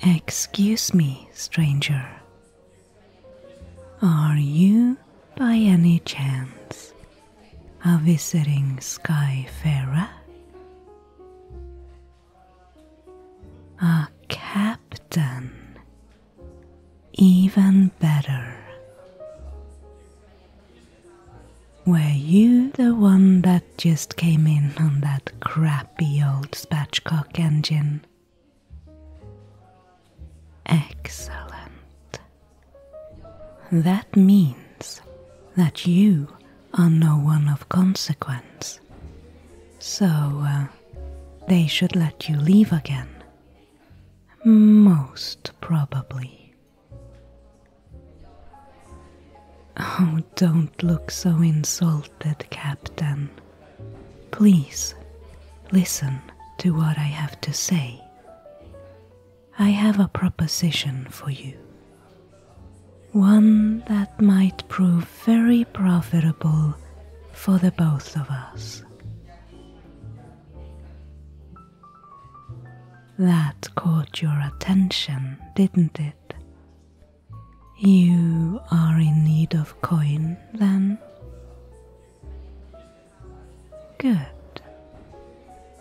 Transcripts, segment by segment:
Excuse me, stranger. Are you, by any chance, a visiting Skyfarer? A captain. Even better. Were you the one that just came in on that crappy old spatchcock engine? Excellent. That means that you are no one of consequence. So, uh, they should let you leave again. Most probably. Oh, don't look so insulted, Captain. Please listen to what I have to say. I have a proposition for you. One that might prove very profitable for the both of us. That caught your attention, didn't it? You are in need of coin then? Good.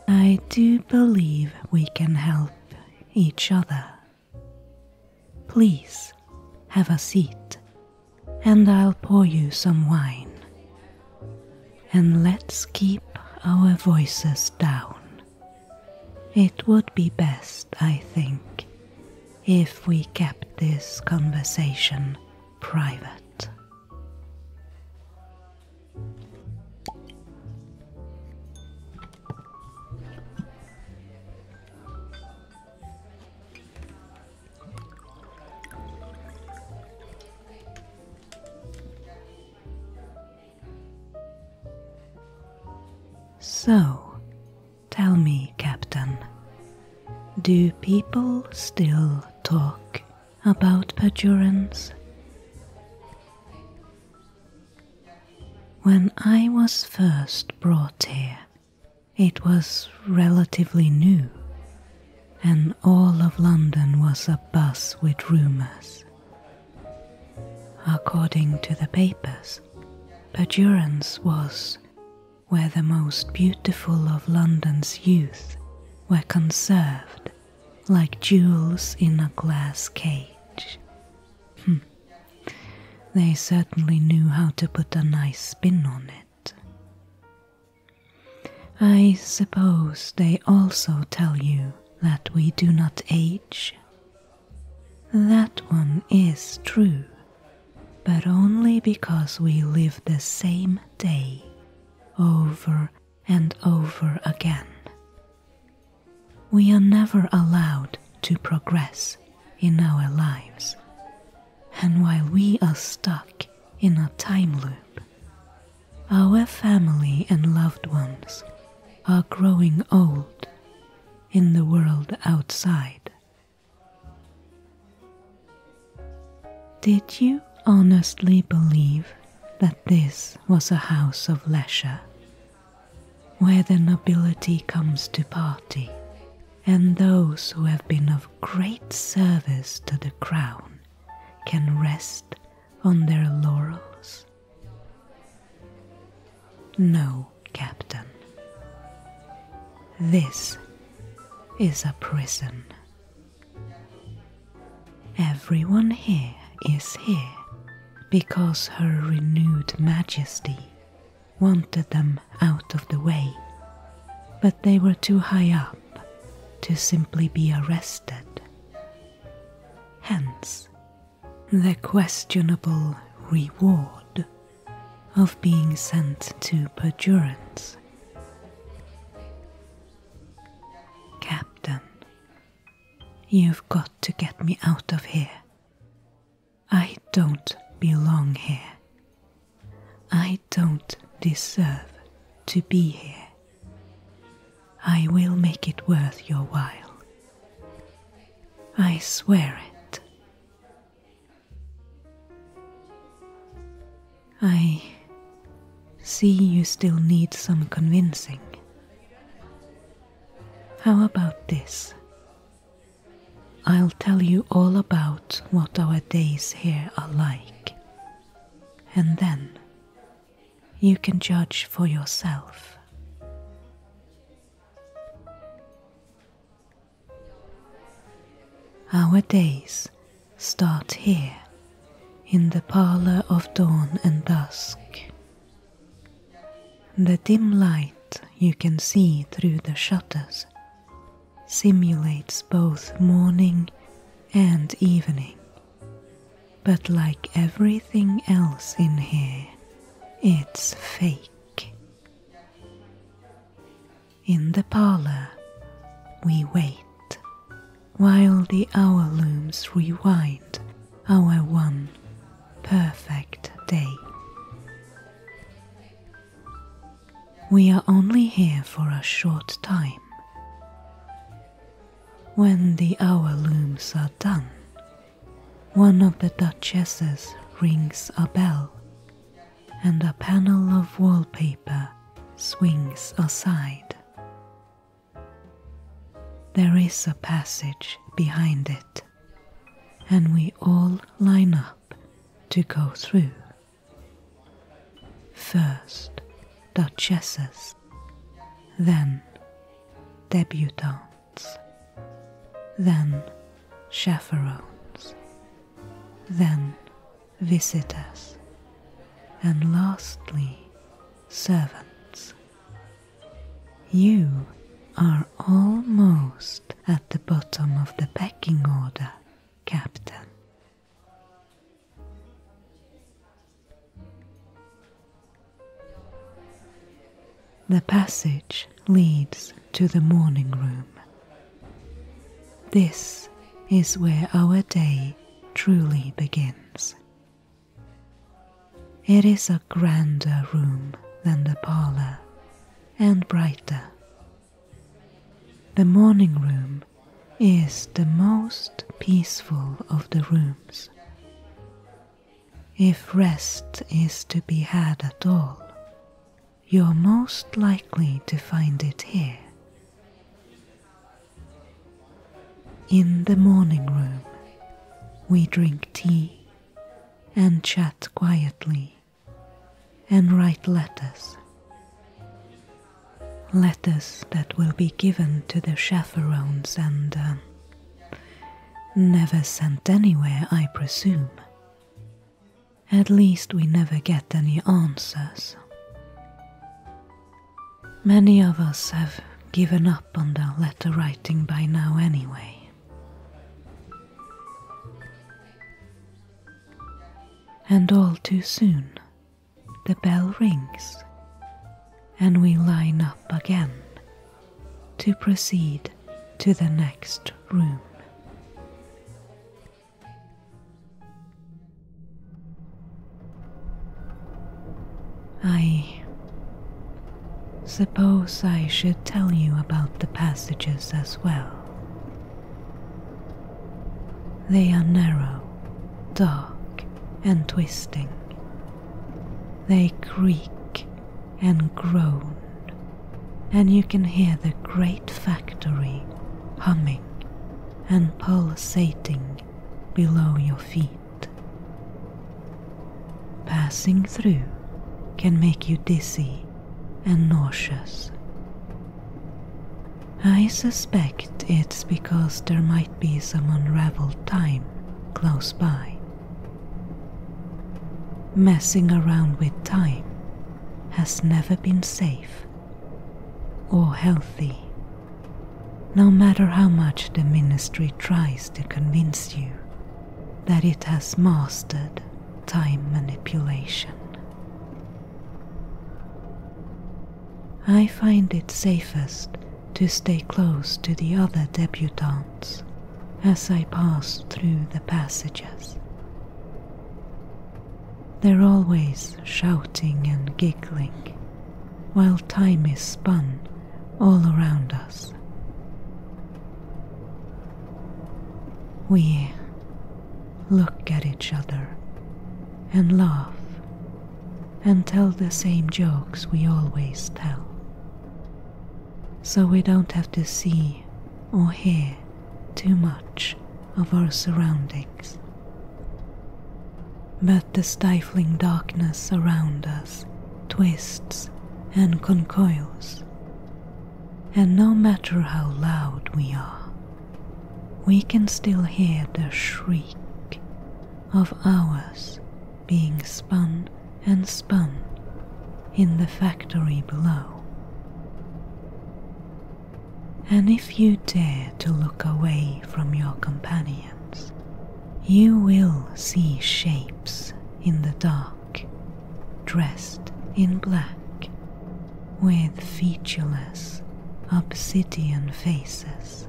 I do believe we can help each other. Please have a seat, and I'll pour you some wine. And let's keep our voices down. It would be best, I think, if we kept this conversation private. So, tell me, Captain, do people still talk about perjurance? When I was first brought here, it was relatively new, and all of London was abuzz with rumours. According to the papers, Perdurance was where the most beautiful of London's youth were conserved like jewels in a glass cage. Hmm. They certainly knew how to put a nice spin on it. I suppose they also tell you that we do not age. That one is true, but only because we live the same day over and over again. We are never allowed to progress in our lives, and while we are stuck in a time loop, our family and loved ones are growing old in the world outside. Did you honestly believe that this was a house of leisure where the nobility comes to party, and those who have been of great service to the crown can rest on their laurels. No, Captain, this is a prison. Everyone here is here because her renewed majesty wanted them out of the way, but they were too high up to simply be arrested. Hence, the questionable reward of being sent to perjurance. Captain You've got to get me out of here. I don't belong here. I don't deserve to be here. I will make it worth your while. I swear it. I see you still need some convincing. How about this? I'll tell you all about what our days here are like, and then you can judge for yourself. Our days start here, in the parlour of dawn and dusk, the dim light you can see through the shutters simulates both morning and evening, but like everything else in here, it's fake. In the parlor, we wait while the hour looms rewind our one perfect day. We are only here for a short time. When the hour looms are done, one of the duchesses rings a bell, and a panel of wallpaper swings aside. There is a passage behind it, and we all line up to go through. First, duchesses, then debutantes, then chaperones, then visitors, and lastly, servants. You are almost at the bottom of the pecking order, Captain. The passage leads to the morning room. This is where our day truly begins. It is a grander room than the parlor and brighter. The morning room is the most peaceful of the rooms. If rest is to be had at all, you're most likely to find it here. In the morning room, we drink tea and chat quietly and write letters. Letters that will be given to the chaperones and uh, never sent anywhere, I presume. At least we never get any answers. Many of us have given up on the letter writing by now, anyway. And all too soon, the bell rings, and we line up again to proceed to the next room. I suppose I should tell you about the passages as well. They are narrow, dark, and twisting. They creak and groan, and you can hear the great factory humming and pulsating below your feet. Passing through can make you dizzy and nauseous. I suspect it's because there might be some unraveled time close by. Messing around with time has never been safe or healthy, no matter how much the ministry tries to convince you that it has mastered time manipulation. I find it safest to stay close to the other debutantes as I pass through the passages they're always shouting and giggling while time is spun all around us. We look at each other and laugh and tell the same jokes we always tell. So we don't have to see or hear too much of our surroundings. But the stifling darkness around us twists and concoils, and no matter how loud we are, we can still hear the shriek of hours being spun and spun in the factory below. And if you dare to look away from your companions, you will see shapes in the dark, dressed in black, with featureless obsidian faces.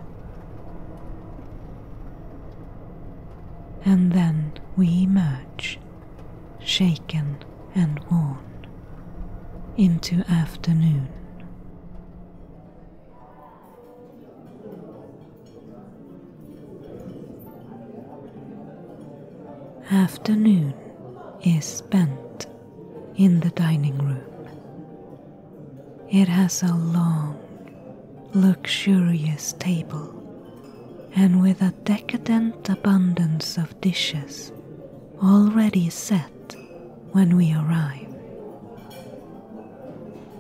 And then we emerge, shaken and worn into afternoon. Afternoon is spent in the dining room. It has a long, luxurious table and with a decadent abundance of dishes already set when we arrive.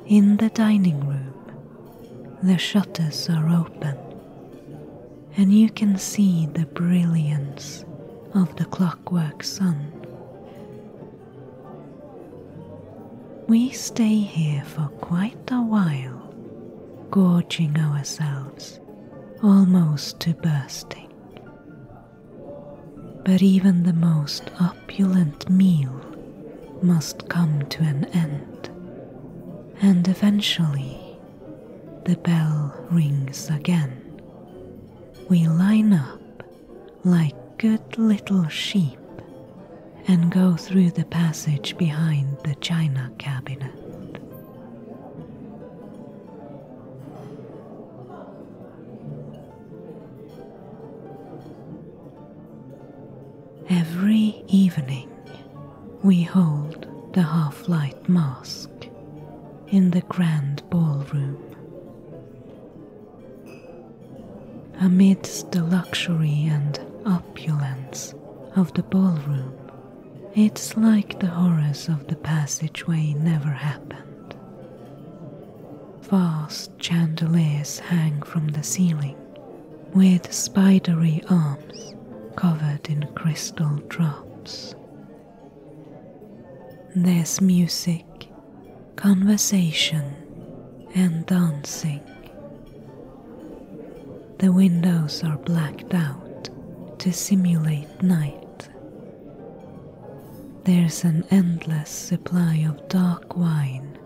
In the dining room, the shutters are open, and you can see the brilliance of the clockwork sun. We stay here for quite a while, gorging ourselves almost to bursting. But even the most opulent meal must come to an end, and eventually the bell rings again. We line up like good little sheep and go through the passage behind the china. Every evening, we hold the half light mask in the grand ballroom. Amidst the luxury and opulence of the ballroom, it's like the horrors of the passageway never happened. Vast chandeliers hang from the ceiling, with spidery arms covered in crystal drops. There's music, conversation, and dancing, the windows are blacked out to simulate night. There's an endless supply of dark wine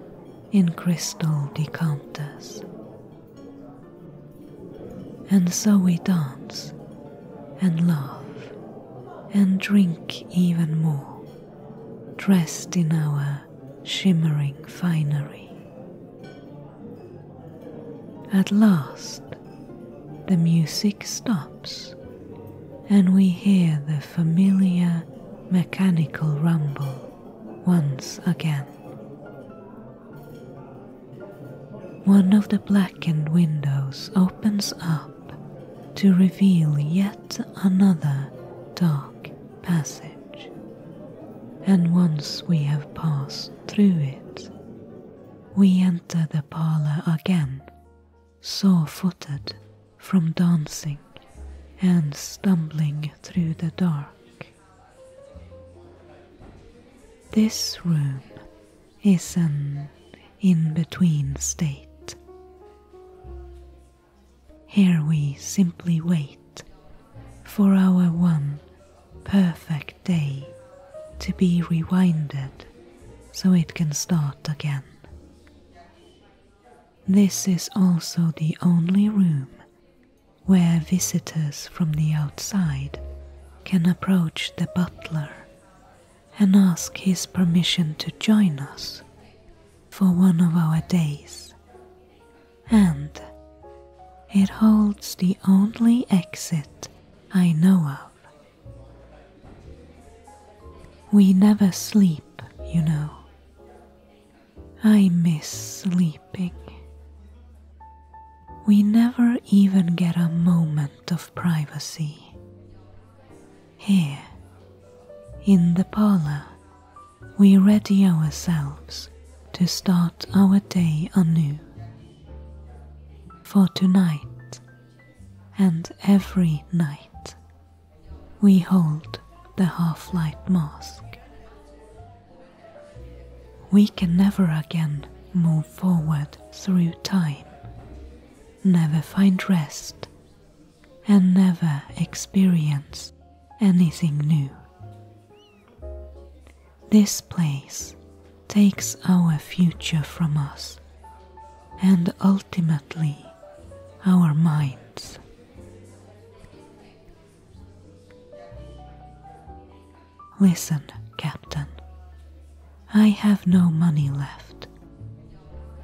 in crystal decanters. And so we dance and laugh and drink even more, dressed in our shimmering finery. At last, the music stops, and we hear the familiar mechanical rumble once again. One of the blackened windows opens up to reveal yet another dark passage and once we have passed through it, we enter the parlour again, sore footed from dancing and stumbling through the dark. This room is an in between state. Here we simply wait for our one perfect day to be rewinded so it can start again. This is also the only room where visitors from the outside can approach the butler and ask his permission to join us for one of our days and it holds the only exit I know of. We never sleep, you know. I miss sleeping. We never even get a moment of privacy. Here, in the parlor, we ready ourselves to start our day anew. For tonight and every night, we hold the half light mask. We can never again move forward through time, never find rest, and never experience anything new. This place takes our future from us and ultimately our minds. Listen, Captain, I have no money left.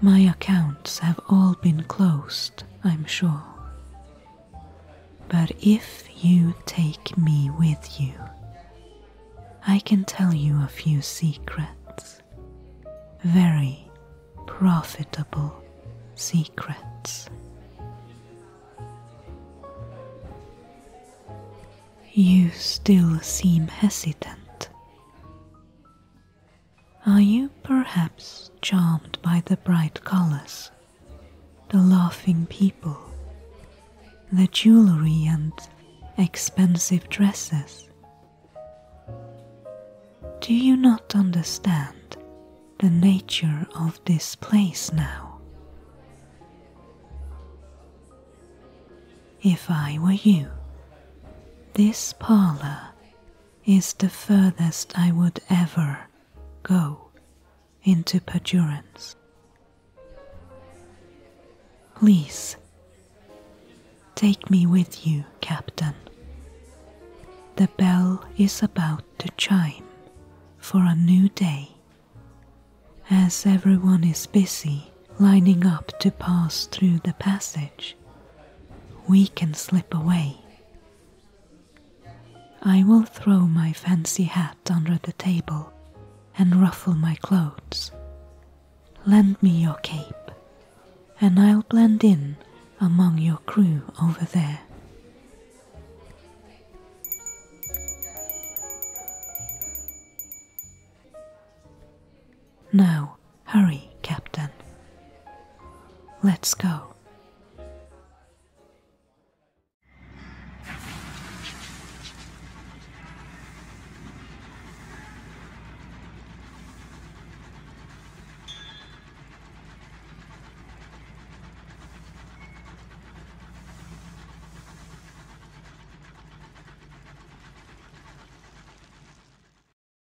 My accounts have all been closed, I'm sure. But if you take me with you, I can tell you a few secrets, very profitable secrets. You still seem hesitant. Are you perhaps charmed by the bright colors, the laughing people, the jewelry and expensive dresses? Do you not understand the nature of this place now? If I were you, this parlor is the furthest I would ever go into perdurance. Please take me with you, Captain. The bell is about to chime for a new day, as everyone is busy lining up to pass through the passage. We can slip away I will throw my fancy hat under the table and ruffle my clothes. Lend me your cape, and I'll blend in among your crew over there. No. Hurry, Captain. Let's go.